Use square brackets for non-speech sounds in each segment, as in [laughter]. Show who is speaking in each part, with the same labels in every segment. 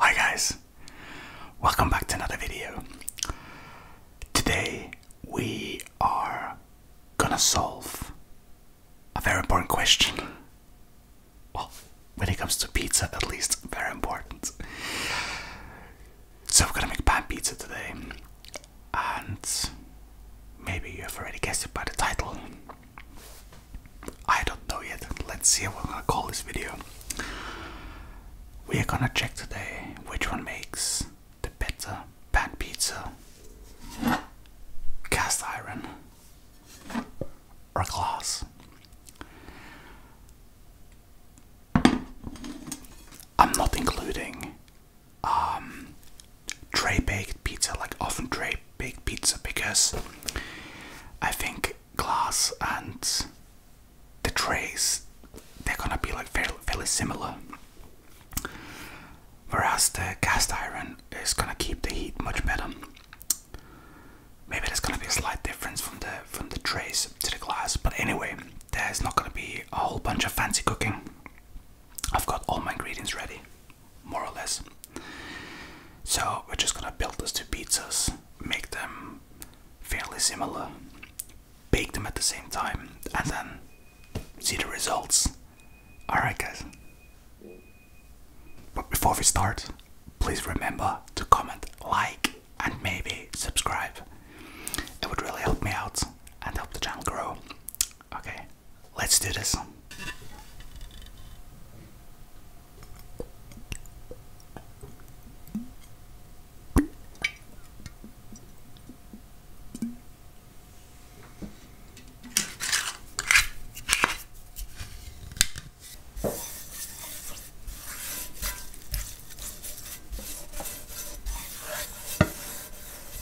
Speaker 1: Hi guys, welcome back to another video. Today we are gonna solve a very important question. Well, when it comes to pizza, at least, very important. So we're gonna make pan pizza today and maybe you have already guessed it by the title. I don't know yet. Let's see what we're gonna call this video. We are gonna check today which one makes the better pan pizza, cast iron, or glass. I'm not including um, tray baked pizza, like often tray baked pizza, because I think glass and the trays they're gonna be like very very similar. Whereas the cast iron is gonna keep the heat much better. Maybe there's gonna be a slight difference from the from the trays to the glass, but anyway, there's not gonna be a whole bunch of fancy cooking. I've got all my ingredients ready, more or less. So we're just gonna build these two pizzas, make them fairly similar, bake them at the same time, and then see the results. Alright, guys. But before we start, please remember to comment, like, and maybe subscribe. It would really help me out and help the channel grow. Okay, let's do this.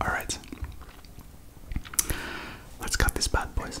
Speaker 1: All right. Let's cut this bad boys.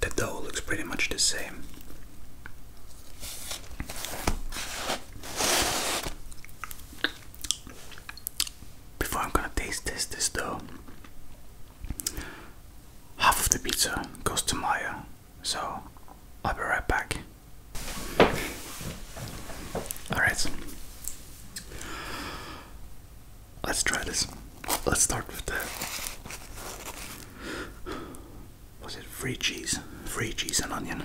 Speaker 1: The dough looks pretty much the same. Before I'm gonna taste this, this dough, half of the pizza goes to Maya, so I'll be right back. All right. Let's try this. Let's start with the. Was it free cheese? Free cheese and onion.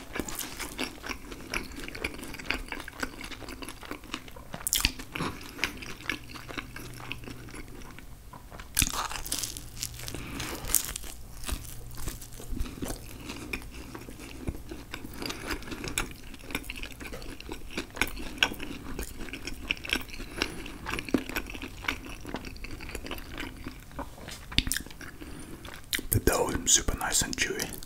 Speaker 1: The dough is super nice and chewy.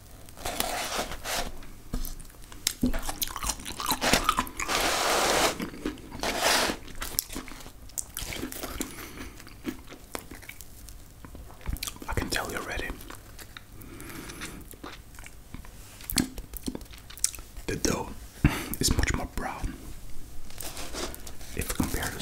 Speaker 1: I can tell you already. The dough is much more brown if compared to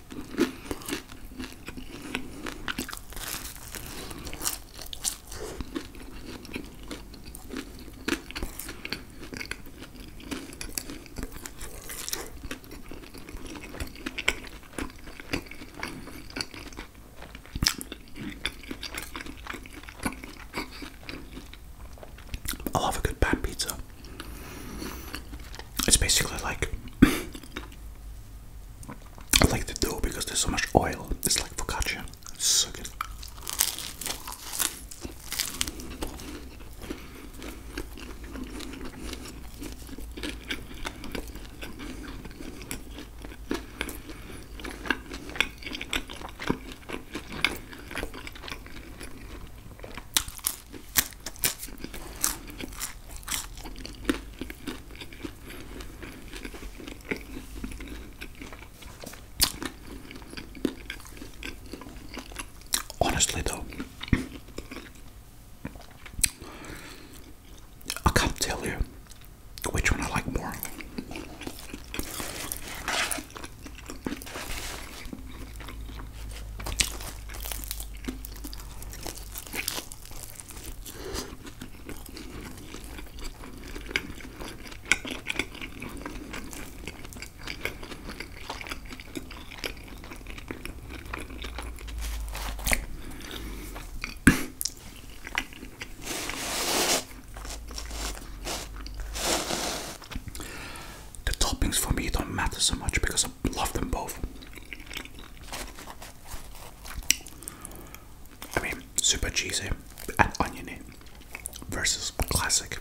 Speaker 1: I love a good pan pizza. It's basically like [clears throat] I like the dough because there's so much oil. It's like focaccia. It's so good. Honestly, though, I can't tell you which one I like more the toppings for me don't matter so much because love them both. I mean, super cheesy and oniony versus classic.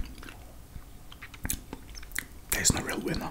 Speaker 1: There's no real winner.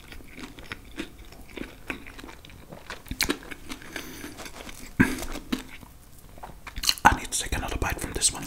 Speaker 1: I need to take another bite from this one.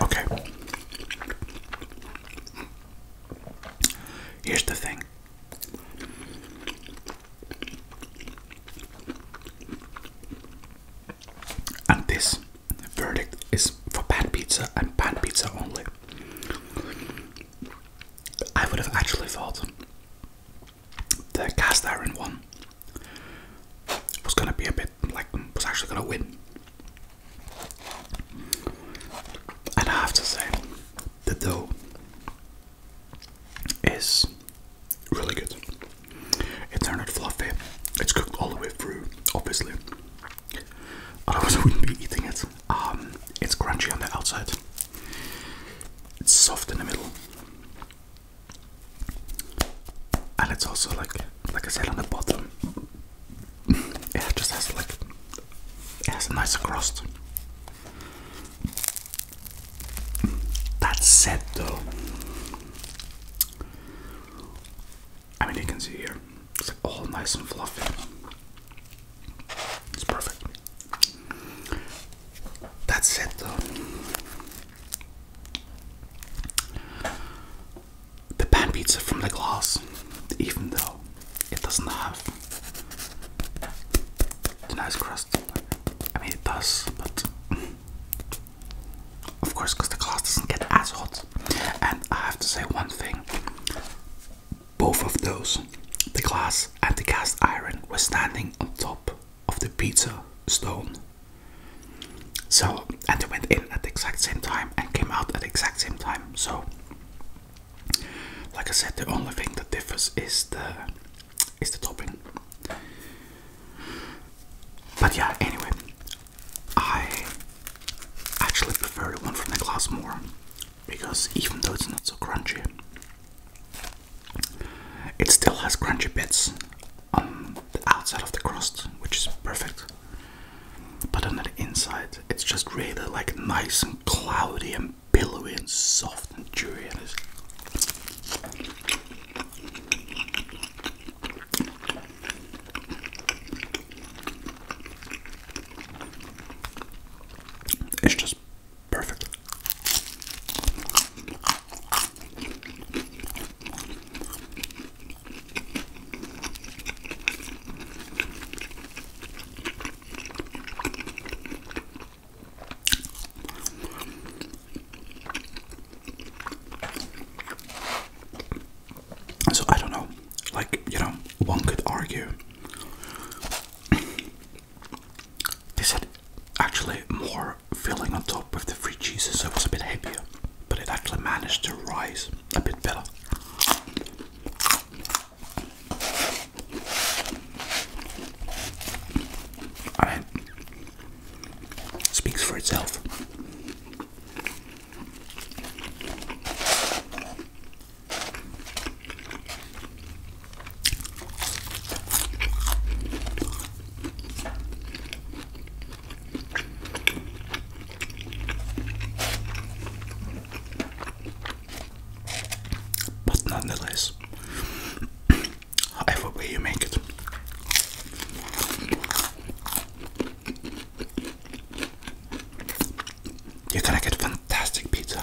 Speaker 1: Okay. Here's the thing. And this verdict is for pan pizza and pan pizza only. I would have actually thought the cast iron one was gonna be a bit like was actually gonna win. And I have to say, the dough is really good. It's turned out fluffy. It's cooked all the way through, obviously. Otherwise, I wouldn't be eating it. Um, it's crunchy on the outside, it's soft in the middle, and it's also like, like I said, on the bottom. [laughs] it just has like, it has a nicer crust. That said, though, I mean, you can see here, it's all nice and fluffy. It's perfect. That's it, though. The pan pizza from the glass, even though it doesn't have the nice crust. I mean, it does, but of course, because the glass doesn't get as hot. And I have to say one thing both of those, the glass and the cast iron, were standing on top of the pizza stone. So, and they went in at the exact same time and came out at the exact same time. So, like I said, the only thing that differs is the is the topping. But yeah, anyway, I I actually prefer the one from the glass more because even though it's not so crunchy, it still has crunchy bits on the outside of the crust, which is perfect. But on the inside, it's just really like nice and cloudy and pillowy and soft and chewy. And it's it's just perfect. So I don't know. Like, you know, one could argue this [clears throat] had actually more filling on top with the free cheese, so it was a bit heavier, but it actually managed to rise a bit better. I speaks for itself. But nonetheless, however you make it. You're gonna get fantastic pizza.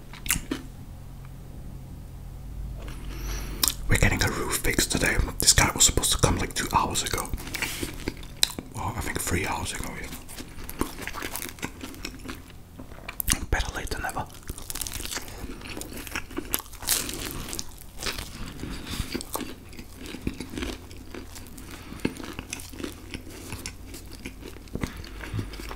Speaker 1: We're getting a roof fixed today. This guy was supposed to come like two hours ago. Well, I think three hours ago. Yeah. Better late than never.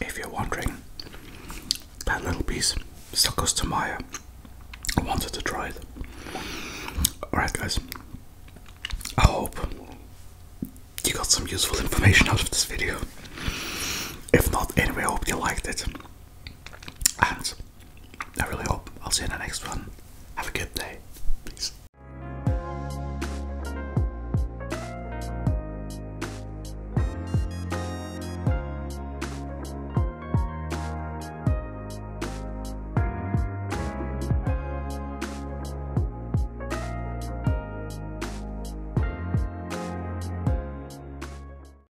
Speaker 1: if you're wondering, that little piece still goes to Maya. I wanted to try it. Alright, guys, I hope you got some useful information out of this video. If not, anyway, I hope you liked it. And I really hope I'll see you in the next one. Have a good day. Peace.